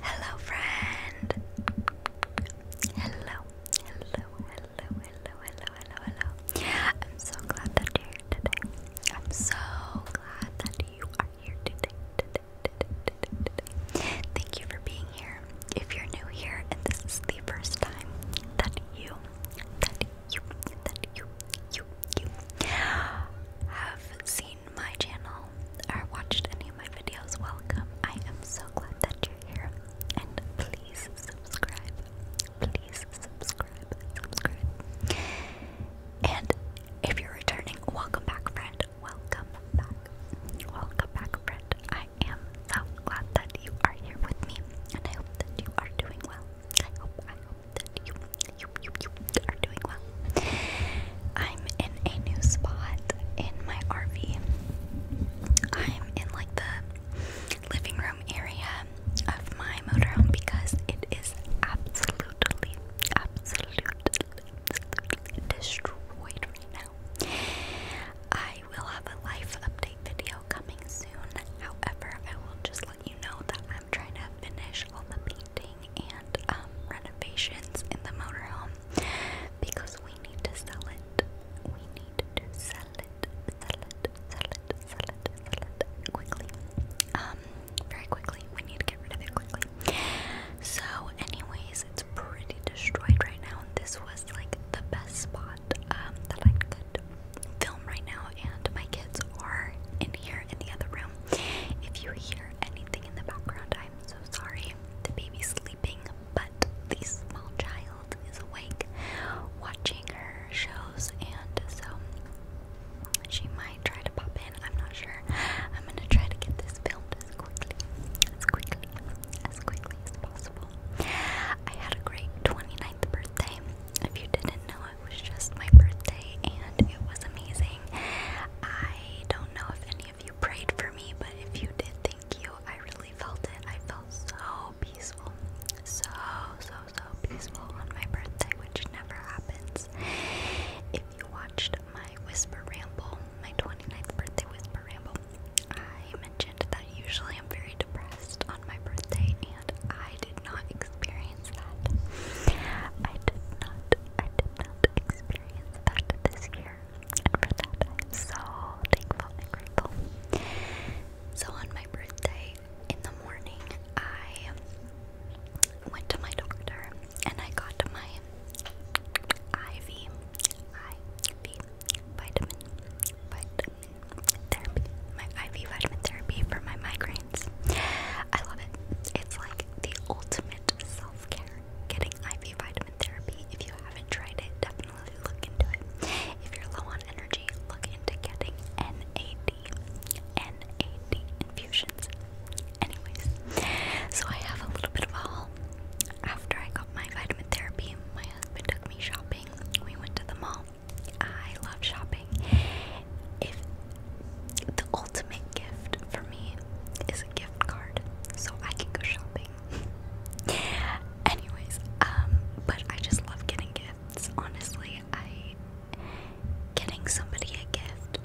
Hello, friend. Hello, hello, hello, hello, hello, hello, hello. I'm so glad that you're here today. I'm so glad that you are here today, Thank you for being here. If you're new here and this is the first time that you, that you, that you, you, you have seen my channel or watched any of my videos, welcome. I am so glad that you're here. And please subscribe. Please subscribe. Subscribe. And if you're returning, welcome back, friend. Welcome back. Welcome back, friend. I am so glad that you are here with me. And I hope that you are doing well. I hope, I hope that you, you, you, I'm in a new spot in my RV. I'm in like the living room area of my motorhome because it is absolutely, absolutely destroyed right now. I will have a life update video coming soon. However, I will just let you know that I'm trying to finish all the painting and um, renovations in the motorhome because we need to sell it. We need to sell it, sell it, sell it, sell it, sell it quickly. Um, very quickly. We need to get rid of it quickly. So, anyways, it's pretty destroyed right now. This was like the best spot um, that I could film right now, and my kids are in here in the other room. If you hear anything in the background, I so sorry. The baby's sleeping, but the small child is awake watching her shows, and so she might try to pop in. I'm not sure. I'm gonna try to get this filmed as quickly, as quickly, as quickly as possible. I had a great 29th birthday. If you didn't know, it was just my birthday, and it was amazing. I don't know if any of you prayed for me, but if you did, thank you. I really felt it. I felt so peaceful. So, so, so peaceful on my birthday, which never happens. If you watched my Whisper Ramble, my 29th birthday Whisper Ramble, I mentioned that usually I'm very depressed on my birthday, and I did not experience experience that. I did not, I did not experience that this year. And for that, I'm so thankful So on my birthday in the morning, I went to my doctor and I got my IV, IV vitamin, vitamin therapy, my IV vitamin therapy for my migraines. I love it. It's like the ultimate self care. Getting IV vitamin therapy. If you haven't tried it, definitely look into it. If you're low on energy, look into getting NAD, NAD infusions. Anyways, so I have a little bit of a After I got my vitamin therapy, my husband took me shopping. We went to the mall. I love shopping, if the ultimate gift for me is a gift card, so I can go shopping. Anyways, um, but I just love getting gifts. Honestly, I getting somebody a gift.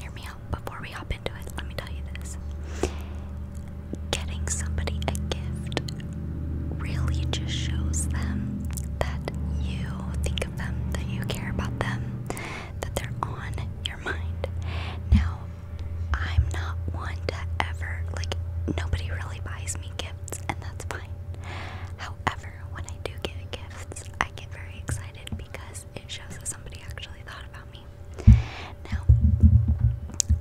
Hear me out before we hop into it. Let me tell you this. Getting somebody a gift really just shows them that you think of them, that you care about them, that they're on your mind. Now, I'm not one to ever, like, nobody really buys me gifts, and that's fine. However, when I do get gifts, I get very excited because it shows that somebody actually thought about me. Now,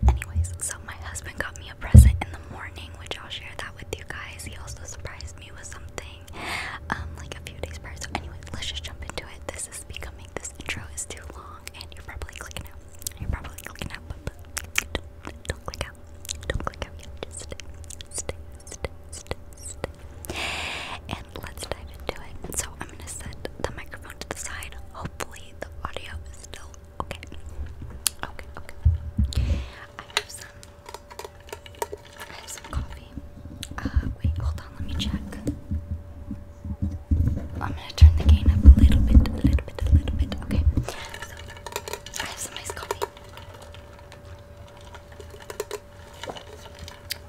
anyways, so my husband got me a present in the morning, which I'll share that with you guys. He also surprised me with something um, like a few days prior. So, anyway, let's just jump into it. This is becoming, this intro is too long, and you're probably clicking out. You're probably clicking out, but, don't, click out. Don't click out Just stay, stay, stay, stay, stay. And let's dive into it. So, I'm going to set the microphone to the side. Hopefully, the audio is still okay. Okay, okay. I have some coffee. Uh, wait, hold on, let me check. I'm gonna turn the gain up a little bit, a little bit, a little bit. Okay, so I have some nice coffee.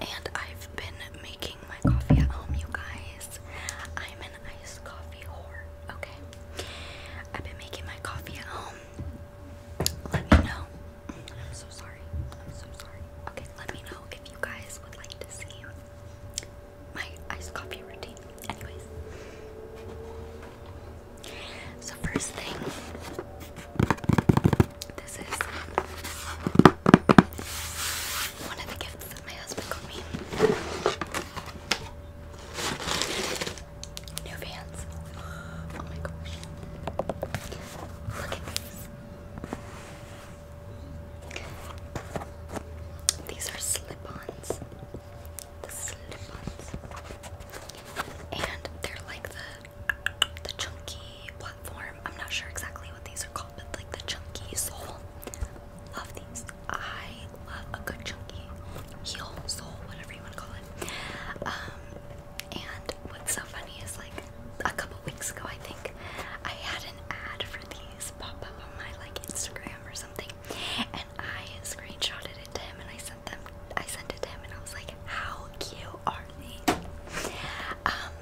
And I've been making my coffee at home, you guys. I'm an iced coffee whore, okay? I've been making my coffee at home. Let me know I'm so sorry. I'm so sorry. Okay, let me know if you guys would like to see my iced coffee routine. Anyways. So first thing this is one of the gifts that my husband got me. New Vans. Oh my gosh. Look at these. These are slip-ons. The slip-ons. And they're like the the chunky platform. I'm not sure exactly what these are called, but like the chunky sole. Love these. I love a good chunky heel, sole, whatever you want to call it. Um and what's so funny is like a couple weeks ago I think I had an ad for these pop up on my like Instagram or something and I screenshotted it to him and I sent them I sent it to him and I was like how cute are these? Um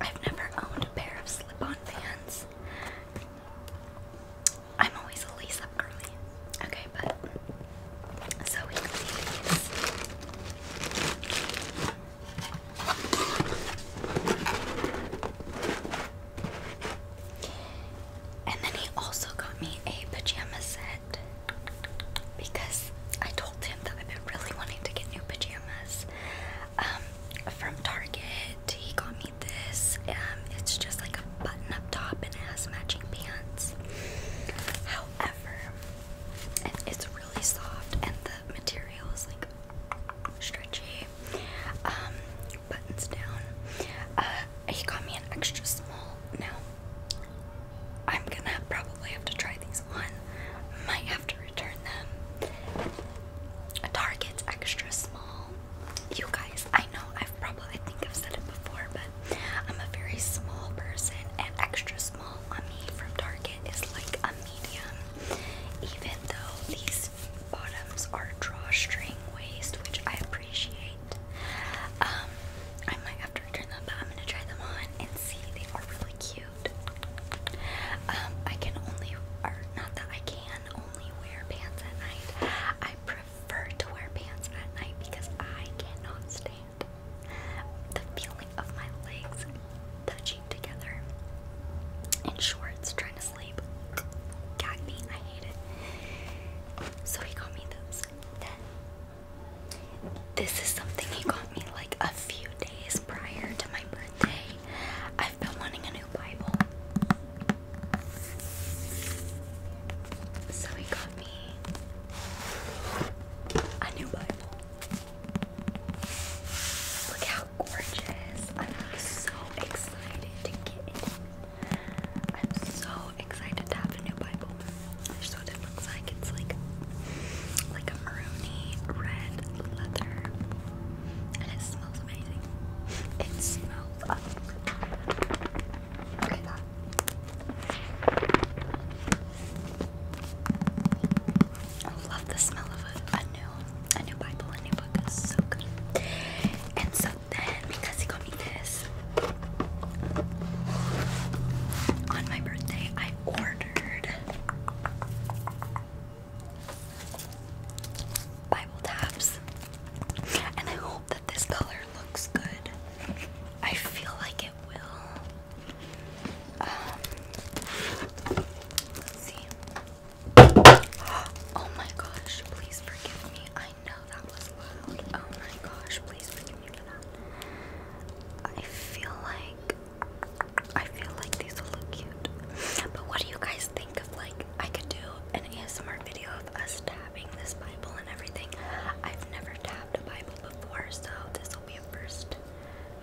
I've never owned a pair of slip-on pants. I'm always a lace-up girly. Okay, but so And then he also got me a pajama set because I told him that I've been really wanting to get new pajamas um, from Target. He got me this. Um, it's just like a button up top and it has matching pants. However, and it's really soft and the material is like stretchy um, buttons down uh, he got me an extra small now i'm gonna probably have to try these on might have to return them a target's extra small you guys i know i've probably i think i've said it before but I'm a very small person, and extra small on me from Target is like a medium. Even though these bottoms are drawstring waist, which I appreciate, um, I might have to return them, but I'm gonna try them on and see. They are really cute. Um, I can only, or not that I can only wear pants at night. I prefer to wear pants at night because I cannot stand the feeling of my legs touching together in shorts trying to sleep got I hate it. So he got me those. this is something he got me like a few days prior to my birthday. I've been wanting a new Bible. So he got me me a new Bible. Look how gorgeous. I'm so excited to get it. I'm so excited to have a new Bible. Here's what it looks like. It's like like a maroony red leather. And it smells amazing. It smells amazing. I love the smell of a, new a new Bible, a new book so good. And so then because he got me this on my birthday, I ordered Bible tabs. And I hope that this color looks good. I feel like it will. Um, oh my gosh, please forgive me. I know that was loud. Oh my gosh, please forgive me for that. I feel like I feel like these will look cute. But what do you guys think of like I could do an ASMR video of us tapping this Bible and everything? I've never tapped a Bible before, so this will be a first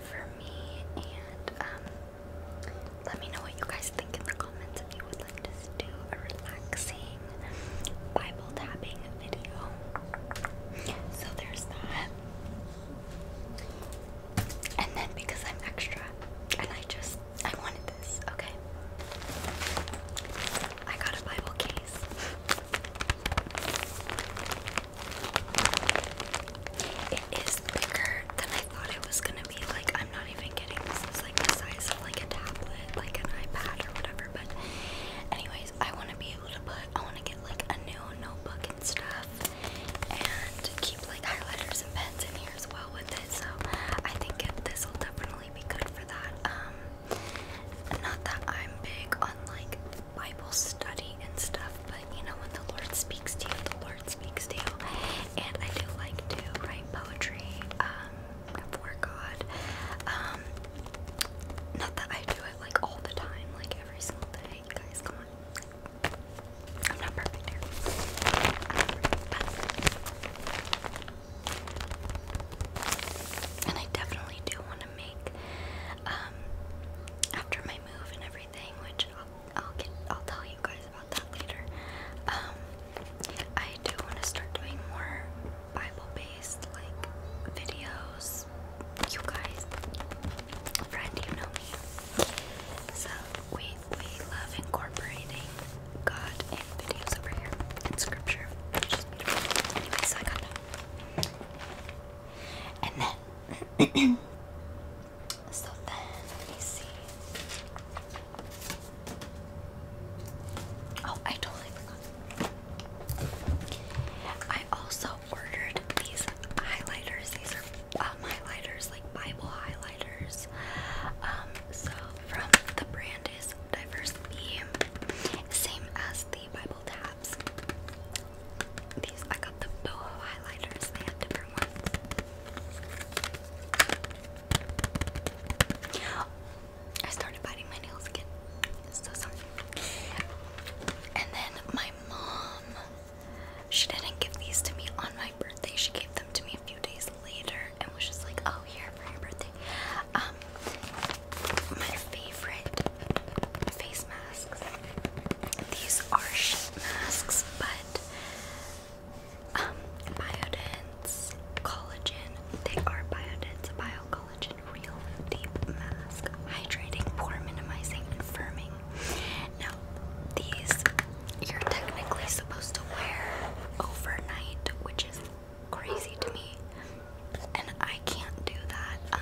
for me. And um, let me know what you guys think in the comments if you would like to do a relaxing Bible tapping video. So there's that. And then because I'm extra and I just I wanted this, okay. I got a Bible case. It is bigger than I thought it was gonna be. Like, I'm not even kidding. This is like the size of like a tablet, like an iPad or whatever. But, anyways, I want to be able to put. I want to get like a new notebook and stuff, and keep like highlighters and pens in here as well with it. So, I think it, this will definitely be good for that. Um, not that I'm big on like Bible study and stuff, but you know, when the Lord speaks to you, the Lord speaks to you. And I do like to write poetry um, for God. Um, not that I do it like all the time, like every single day. guys, come on. I'm not perfect here. Um, and I definitely do want to make um after my move and everything, which I'll get I'll tell you guys about that later. Um I do want to start doing more Bible-based like videos. You guys, friend, you know me. So we we love incorporating God videos over here scripture. so I got that. And then, so then, let me see. Oh, I totally forgot. I also ordered these highlighters. These are um, highlighters, like Bible highlighters. Um, so from the brand is Diverse same as the Bible tabs. These I got the boho highlighters. They had different ones. I started biting my nails again. So sorry. And then my mom, she didn't give these to me on my birthday. She gave them to me a few days later and was just like, "Oh, here for your birthday." Um, my favorite face masks. These are sheet masks, but um, Biodense collagen. They are Biodense biocollagen real deep mask, hydrating, pore minimizing, firming. Now, these you're technically supposed to wear overnight, which is crazy to me. And I can't do that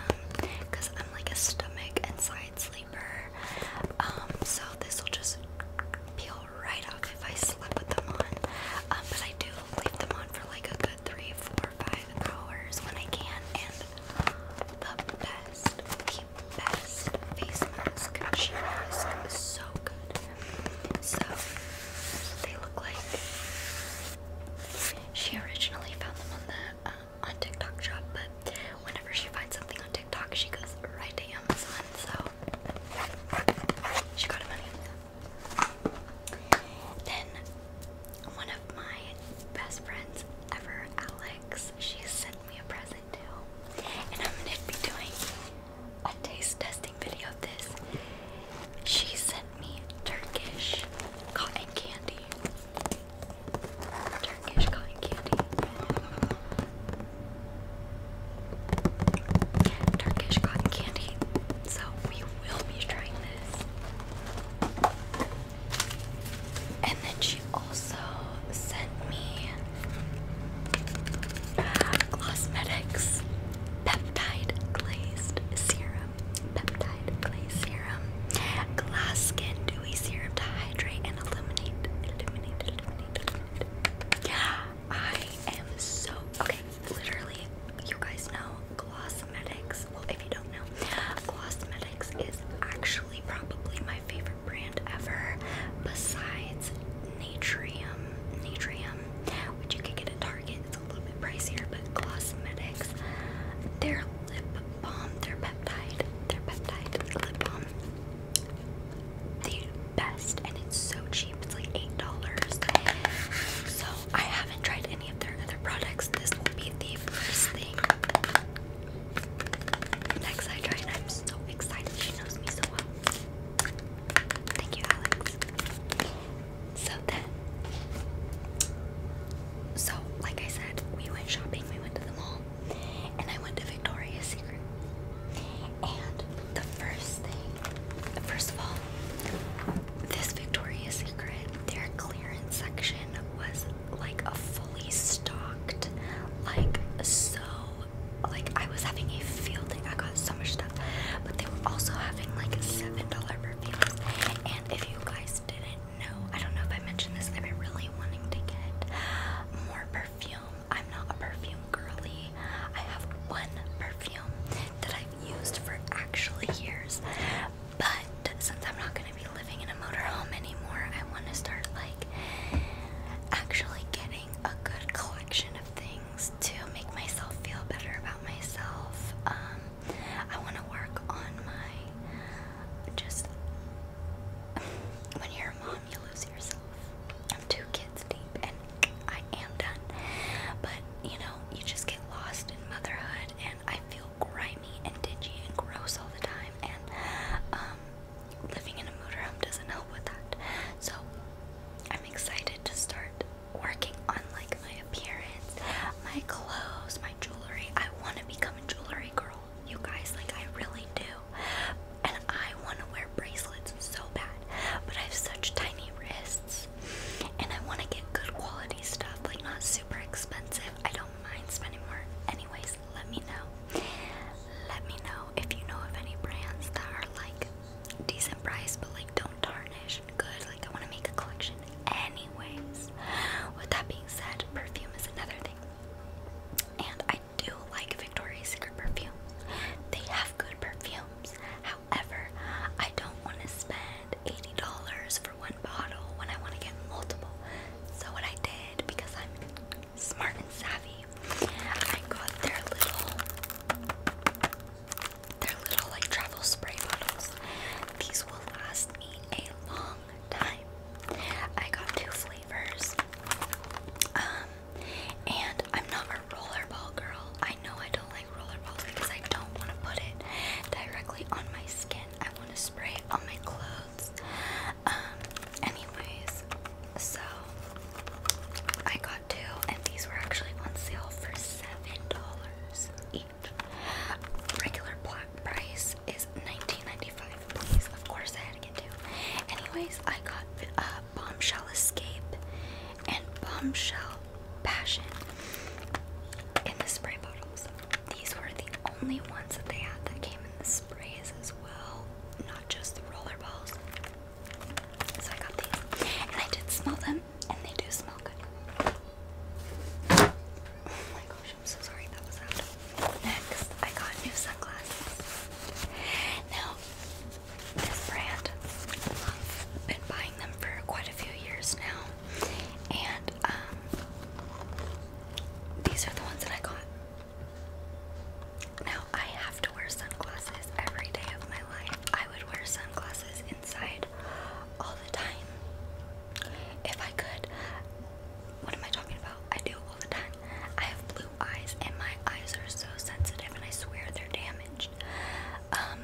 because um, I'm like a stomach and side sleeper. Um, so this will just peel right off if I slip with them on. Um, but I do leave them on for like a good three, four, five hours when I can. And the best, the best face mask. She mask is so good. So they look like she originally found them on the uh, on TikTok shop, but whenever she finds something on TikTok, she goes right to Amazon. So she got them Then one of my best friends ever, Alex, she sent me a present too, and I'm gonna be doing a taste testing video of this. She sent me Turkish cotton candy. Turkish cotton candy. Turkish cotton candy. So we will be trying this. And then she also sent me Glossmetics Peptide Glazed Serum. Peptide Glazed Serum. Glass Skin Dewy Serum to Hydrate and eliminate. Yeah, I am so. Okay, literally, you guys know Glossmetics. Well, if you don't know, Glossmetics is actually probably my favorite brand ever besides Natrium, Natrium, which you can get at Target. It's a little bit pricier, but Glossmetics, their lip balm, their peptide, their peptide lip balm, the best, and it's so cheap. It's like eight dollars. So I haven't tried any of their other products. This will be the first thing. Next I try and I'm so excited. She knows me so well. Thank you, Alex. So then, so like I said, we went shopping, we went to the mall, and I went to Victoria's Secret. And the first thing, first of all, this Victoria's Secret, their clearance section was like a fully stocked, like so like I was having a field day. I got so much stuff, but they were also having like a seven dollar perfumes. And if you guys didn't know, I don't know if I mentioned this. I've been really wanting to get more perfume. I'm not a perfume girly. I have one perfume that I've used for actually years, but since I'm not gonna be living in a motorhome anymore, I want to start like actually getting a good collection of things to make myself feel better about myself. Um, I want to work on my just. When you're a mom, you lose yourself. I'm two kids deep, and I am done. But you know, you just get lost in motherhood, and I feel grimy and dingy and gross all the time. And um, living in a motorhome doesn't help with that. So I'm excited to start working on like my appearance, my clothes, my jewelry. I want to become a jewelry girl, you guys. Like I really do, and I want to wear bracelets so bad, but I have such tiny wrists, and I want to get good quality stuff, like not super expensive. I don't mind spending more. Anyways, let me know. Let me know if you know of any brands that are like decent price, but like don't tarnish. Good, like I want to make a collection anyways. With that being said, perfume is another thing. And I do like Victoria's Secret perfumes. They have good perfumes. However, I don't want to spend $80 for one bottle when I want to get multiple. So what I did because I'm smart and savvy I got their little their little like travel spray bottles. These will last me a long time. I got two flavors. Um and I'm not a rollerball girl. I know I don't like rollerballs because I don't want to put it directly on my skin. I want to spray it on my clothes. Um anyways, so I got two, and these were actually on sale for seven dollars each. Regular black price is nineteen ninety five. Please, of course, I had to get two. Anyways, I got uh, Bombshell Escape and Bombshell Passion in the spray bottles. These were the only ones that they had that came in the sprays as well, not just the roller balls. So I got these. And I did smell them, and they do smell good. Oh my gosh, I'm so sorry that was out. Next, I got new sunglasses. Now, this brand, I've been buying them for quite a few years now. And um, these are the ones that I got. Now, I have to wear sunglasses every day of my life. I would wear sunglasses inside all the time if I could. What am I talking about? I do all the time. I have blue eyes, and my eyes are so sensitive, and I swear they're damaged. Um,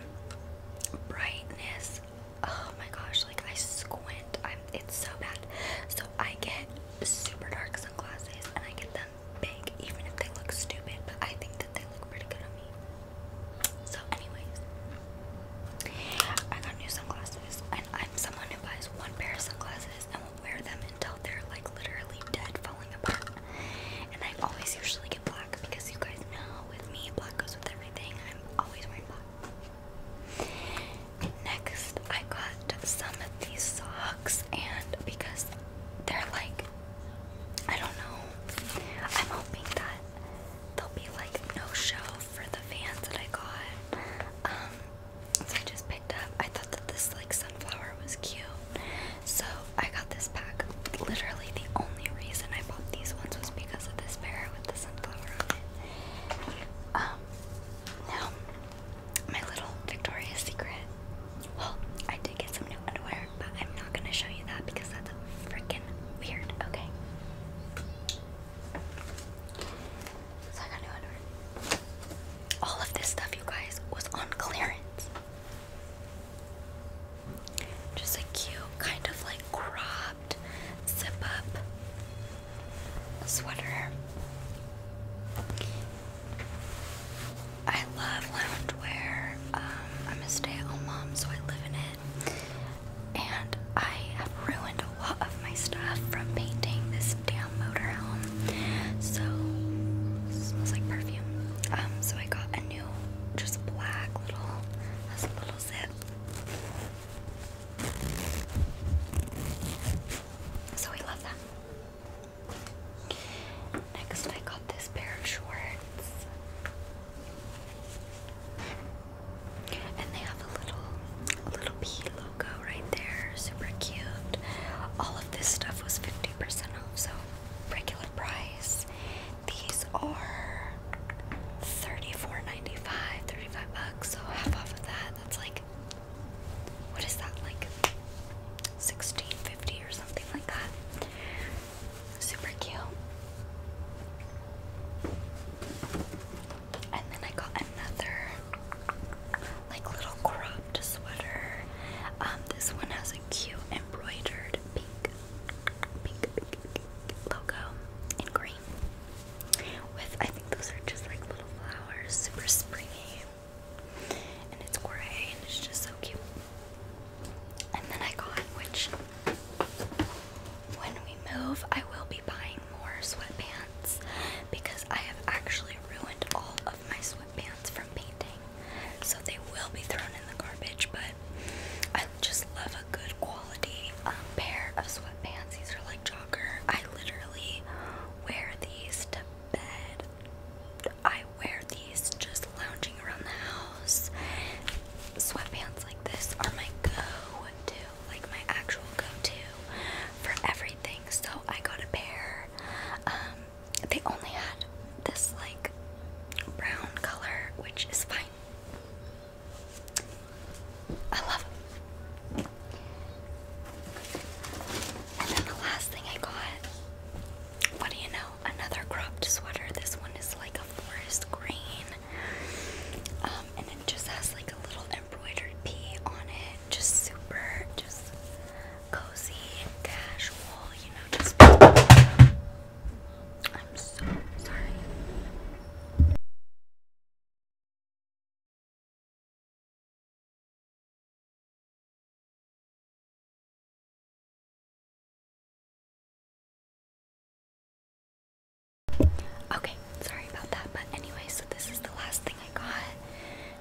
brightness. Oh my gosh! Like I squint. I'm. It's so bad. So I get super dark sunglasses, and I get them big, even if they look stupid, but I think that they look pretty good on me. So, anyways, I got new sunglasses, and I'm someone who buys one pair of sunglasses and will wear them until they're like literally dead, falling apart. And I always usually get black because you guys know with me, black goes with everything. I'm always wearing black. Next, I got some these socks and because they're like I don't know. I'm hoping that there'll be like no show for the fans that I got. Um so I just picked up I thought that this like sunflower was cute. So I got this pack. Literally the only reason I bought these ones was because of this pair with the sunflower on it. Um now my little Victoria's Secret. Well, I did get some new underwear, but I'm not gonna show you that because that's freaking weird, okay? So I got new underwear. All of this stuff, you guys, was on clearance. Just a cute, kind of like cropped, zip up sweater. I love loungewear. Um, I'm a stay-at-home mom, so I live in it. And I have ruined a lot of my stuff from painting this damn motorhome. So smells like perfume. Um, so I got a new, just black little, little zip. So we love that. Next, I got this pair of shorts, and they have a little, a little P logo right there. Super cute. All of this stuff was fifty percent off, so regular price. These are 34 35 bucks. So half off of that, that's like what is that like 1650 or something like that super cute and then I got another like little cropped sweater um this one has a cute embroidered pink pink, pink, logo in green with I think those are just like little flowers super springy and it's gray and it's just so cute. And then I got, which when we move, I will be buying more sweatpants because I have actually ruined all of my sweatpants from painting. So they will be thrown in the garbage, but I just love a good quality um, pair of sweatpants. These are like jogger. I literally wear these to I wear these just lounging around the house. Sweatpants like this are my go-to, like my actual go-to for everything. So I got a pair. Um, they only had this like brown color, which is fine. I love and then the last thing I got, what do you know? Another cropped sweater. This one is like a forest green. Um, and it just has like a little embroidered pea on it. Just super, just cozy and casual, you know, just I'm so sorry. Okay, sorry about that, but anyway, so this is the last thing I got.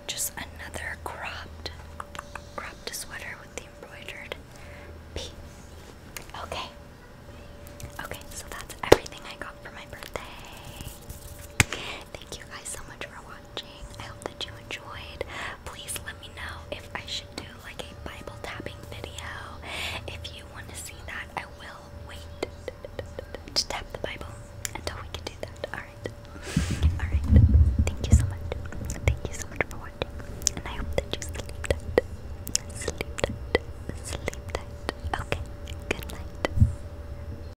Just another cropped, cropped sweater with the embroidered P. Okay. Okay, so that's everything I got for my birthday. Thank you guys so much for watching. I hope that you enjoyed. Please let me know if I should do like a Bible tapping video. If you want to see that, I will wait to tap the Bible until we can do that. Alright. Alright. Thank you so much. Thank you so much for watching. And I hope that you sleep Sleep Sleep Okay. Good night.